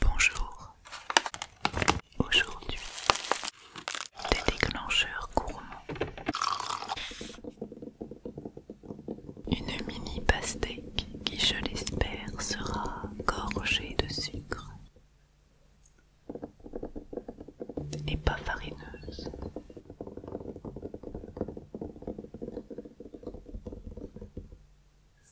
Bonjour. Aujourd'hui, des déclencheurs gourmands. Une mini pastèque qui, je l'espère, sera gorgée de sucre et pas farineuse.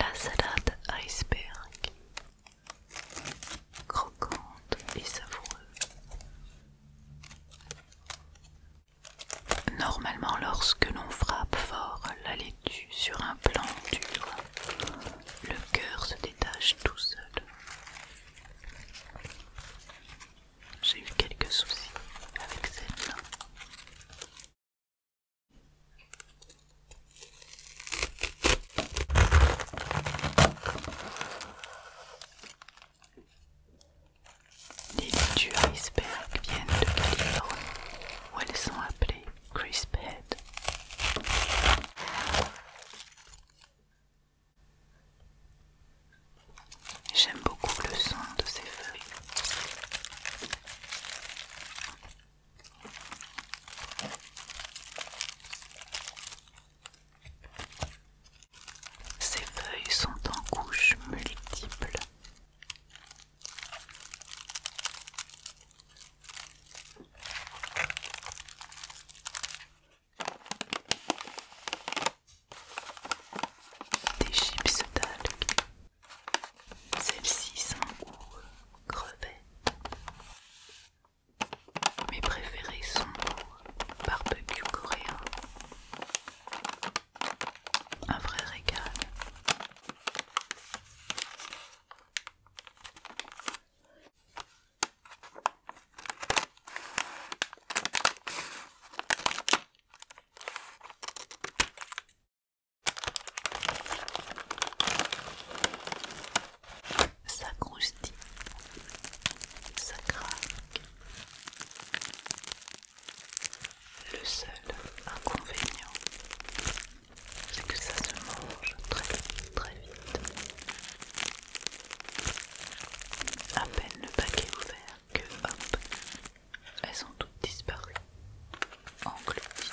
La salade iceberg, croquante et savoureuse. Normalement, lorsque l'on frappe fort la laitue sur un plan dur, le cœur se détache tout seul. J'ai eu quelques soucis avec celle-là. Les du iceberg viennent de Californie où elles sont appelées crisp J'aime beaucoup le son de ces feuilles ces feuilles sont en couches multiples. Des chips d'algues. Celles-ci sont crevées. Mes préférés sont barbecue coréen. Un vrai régal. Ça croustille, ça craque. Le seul inconvénient, c'est que ça se mange très très vite. À peine le paquet ouvert que hop, elles sont toutes disparues, englouties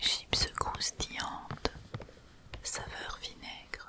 Chips croustillante, saveur vinaigre.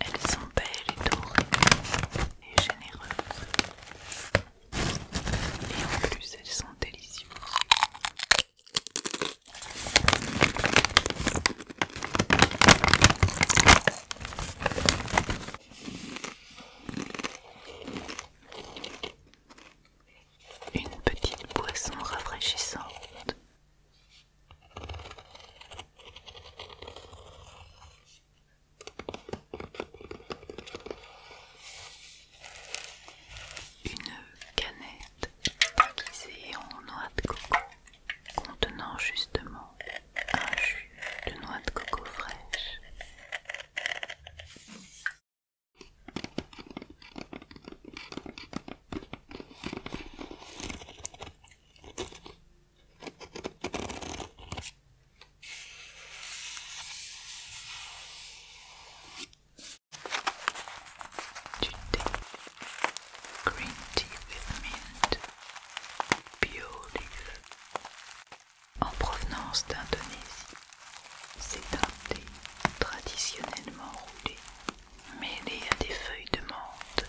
Elles sont belles et dorées et généreuses. Et en plus, elles sont délicieuses. Une petite boisson rafraîchissante. Une canette déguisée en noix de coco contenant justement un jus de noix de coco fraîche. green tea with mint en provenance d'Indonésie. C'est un thé traditionnellement roulé, mêlé à des feuilles de menthe.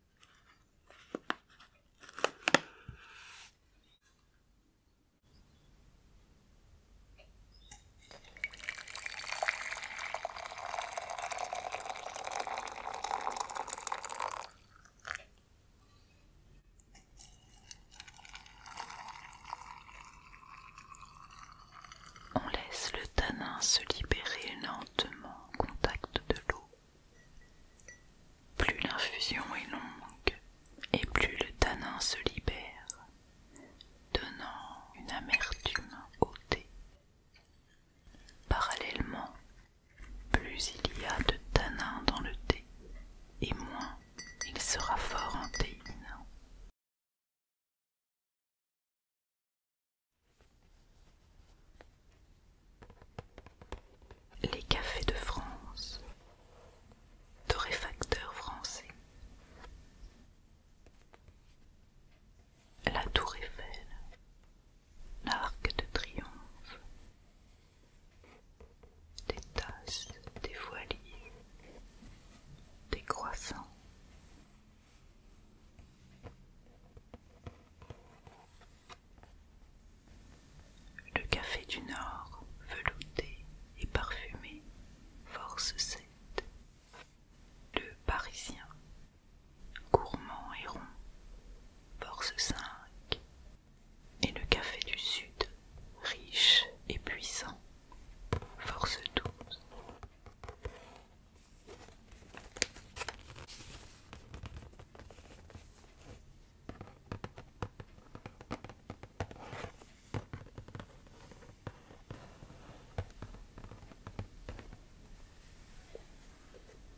On laisse le tanin se libérer lentement au contact de l'eau. Plus l'infusion est longue et plus le tanin se libère, donnant une amertume au thé. Parallèlement, plus il y a de tanin dans le thé et moins il sera fort en théine. Les cafés de France, torréfacteurs français. La tour Eiffel, l'arc de triomphe, des tasses, des voiliers, des croissants. Le café du Nord, velouté et parfumé, force 7. Le Parisien, gourmand et rond, force 5. Et le café du Sud, riche et puissant, force 12.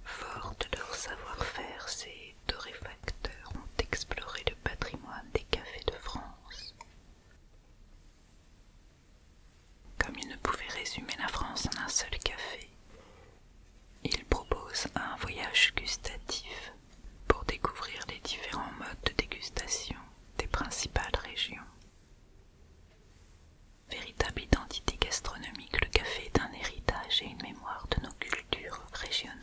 Forte de leur savoir-faire, ces torréfacteurs ont exploré le patrimoine des cafés de France. Comme ils ne pouvaient résumer la France en un seul café, il propose un voyage gustatif pour découvrir les différents modes de dégustation des principales régions. Véritable identité gastronomique, le café est un héritage et une mémoire de nos cultures régionales.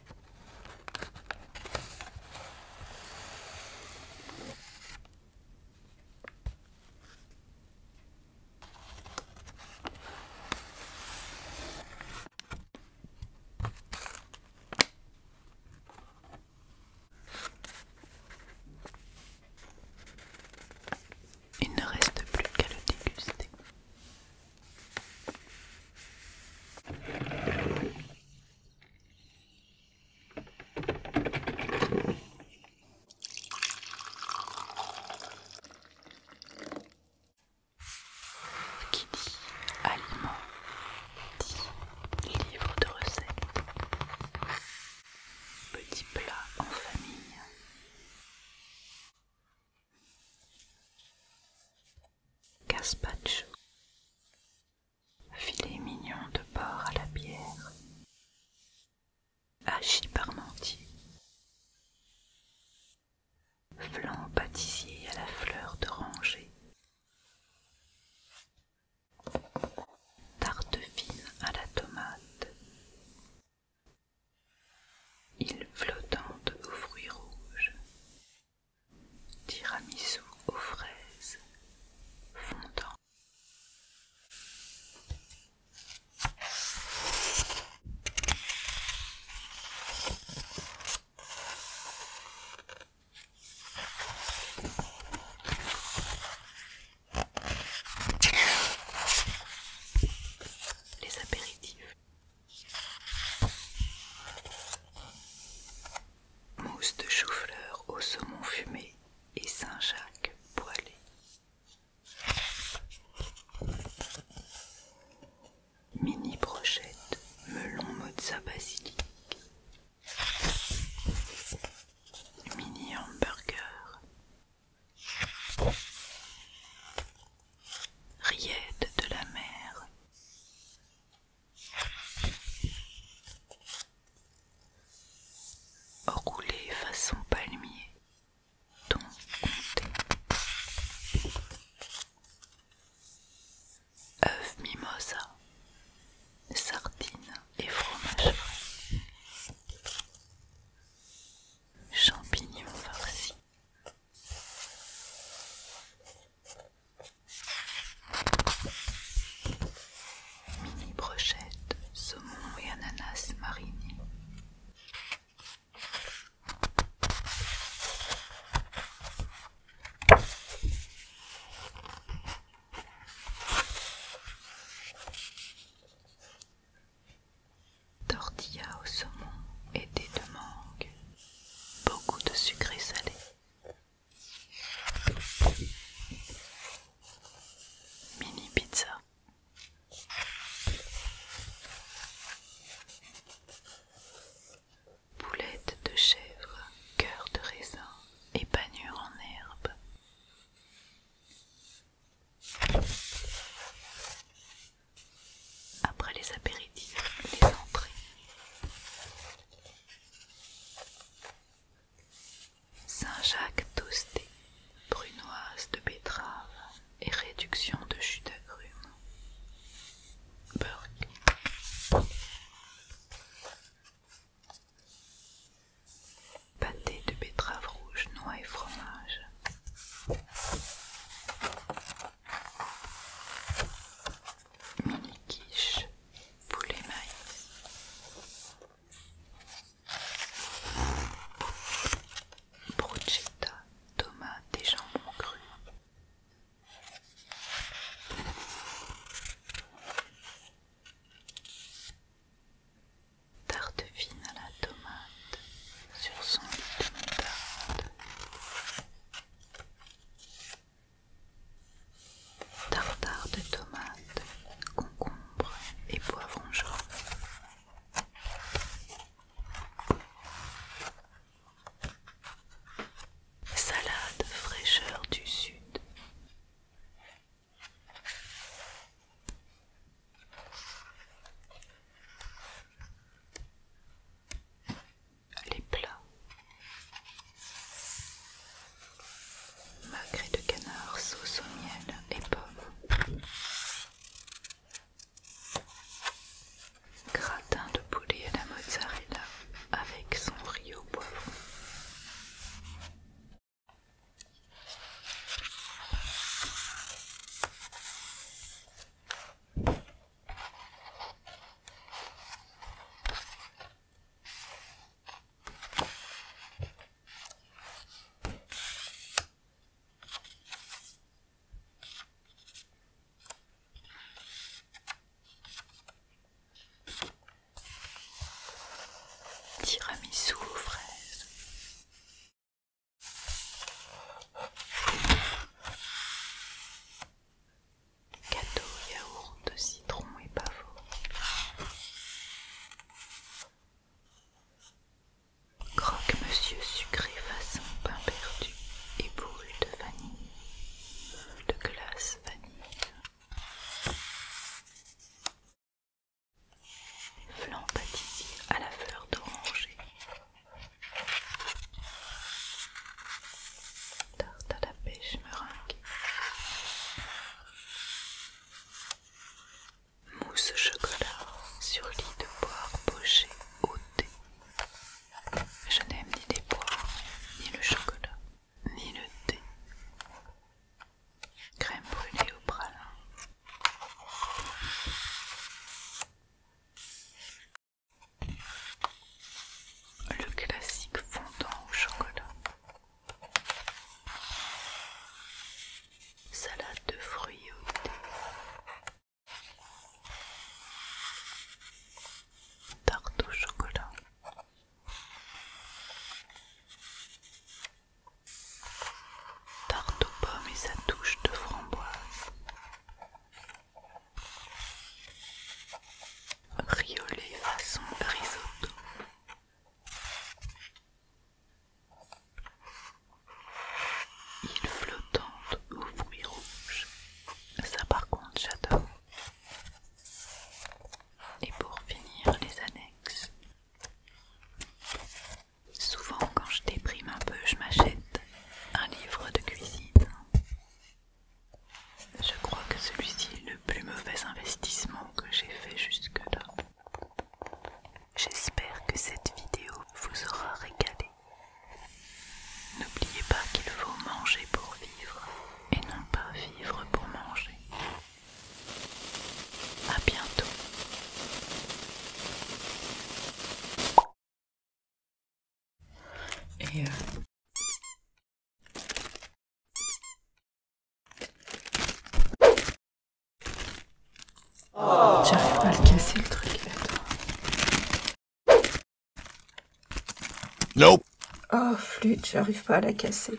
Il ne reste plus qu'à le déguster. Qui dit aliment dit livre de recettes. Petit plat en famille. Gaspacho Filet mignon de porc à la bière. Hachis parmentier. Flan pâtissier à la fleur d'oranger. Tarte fine à la tomate. Île flottante aux fruits rouges. Tiramisu aux fraises fondant. Les apéritifs mousse de chou-fleur au saumon fumé et Saint-Jacques poilé Mini brochette melon mozza basilic. Mini hamburger. Rillettes de la mer. Roulé façon palmier, ton comté mimosa, sardines et fromage frais, champignons farcis. Mini brochette, saumon et ananas marinés. Tortilla au saumon et des de mangue. Beaucoup de sucré salé. Mini pizza. boulettes de chèvre, cœur de raisin et en herbe. Après les apéritifs, les entrées. Saint-Jacques toasté, brunoise de betterave et réduction de jus d'agrumes. Burg, Pâté de betterave rouge, noix et fromage mini quiche poulet maïs, brochette tomate et jambon cru. Tarte fine à la tomate sur son lit de moutarde tartare de tomates, concombre et poivron Salade fraîcheur du sud. Les plats Magret de canard, sauce au miel et pommes. Gratin de poulet à la mozzarella avec son riz au Tiramisu aux fraises. Gâteau yaourt citron et pavot. Croque-monsieur sucré façon pain perdu et de vanille, de glace vanille. Flan pâtissier à la fleur d'oranger. Tarte à la pêche meringue. Mousse au chocolat sur lit de boire poché au thé. Je n'aime ni les poires, ni le chocolat, ni le thé. Crème brûlée au pralin. Le classique fondant au chocolat. Salade de fruits au thé. Tarte au chocolat. Tarte aux pommes et sa touche de framboise. Riolet façon risotto îles flottante aux fruits rouges. Ça par contre j'adore. Et pour finir les annexes. Souvent quand je déprime un peu, je m'achète un livre de cuisine. Je crois que celui-ci est le plus mauvais investissement que j'ai fait jusque-là. J'espère que cette vidéo vous aura régalé. N'oubliez pas qu'il faut manger pour vivre et non pas vivre pour manger. A bientôt. Et euh, Oh. J'arrive pas à le casser le truc. là. Nope. Oh flûte, j'arrive pas à la casser.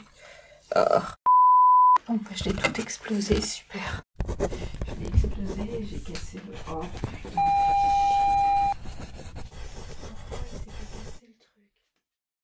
Oh. Bon bah je l'ai tout explosé, super. Je l'ai explosé, j'ai cassé le. Oh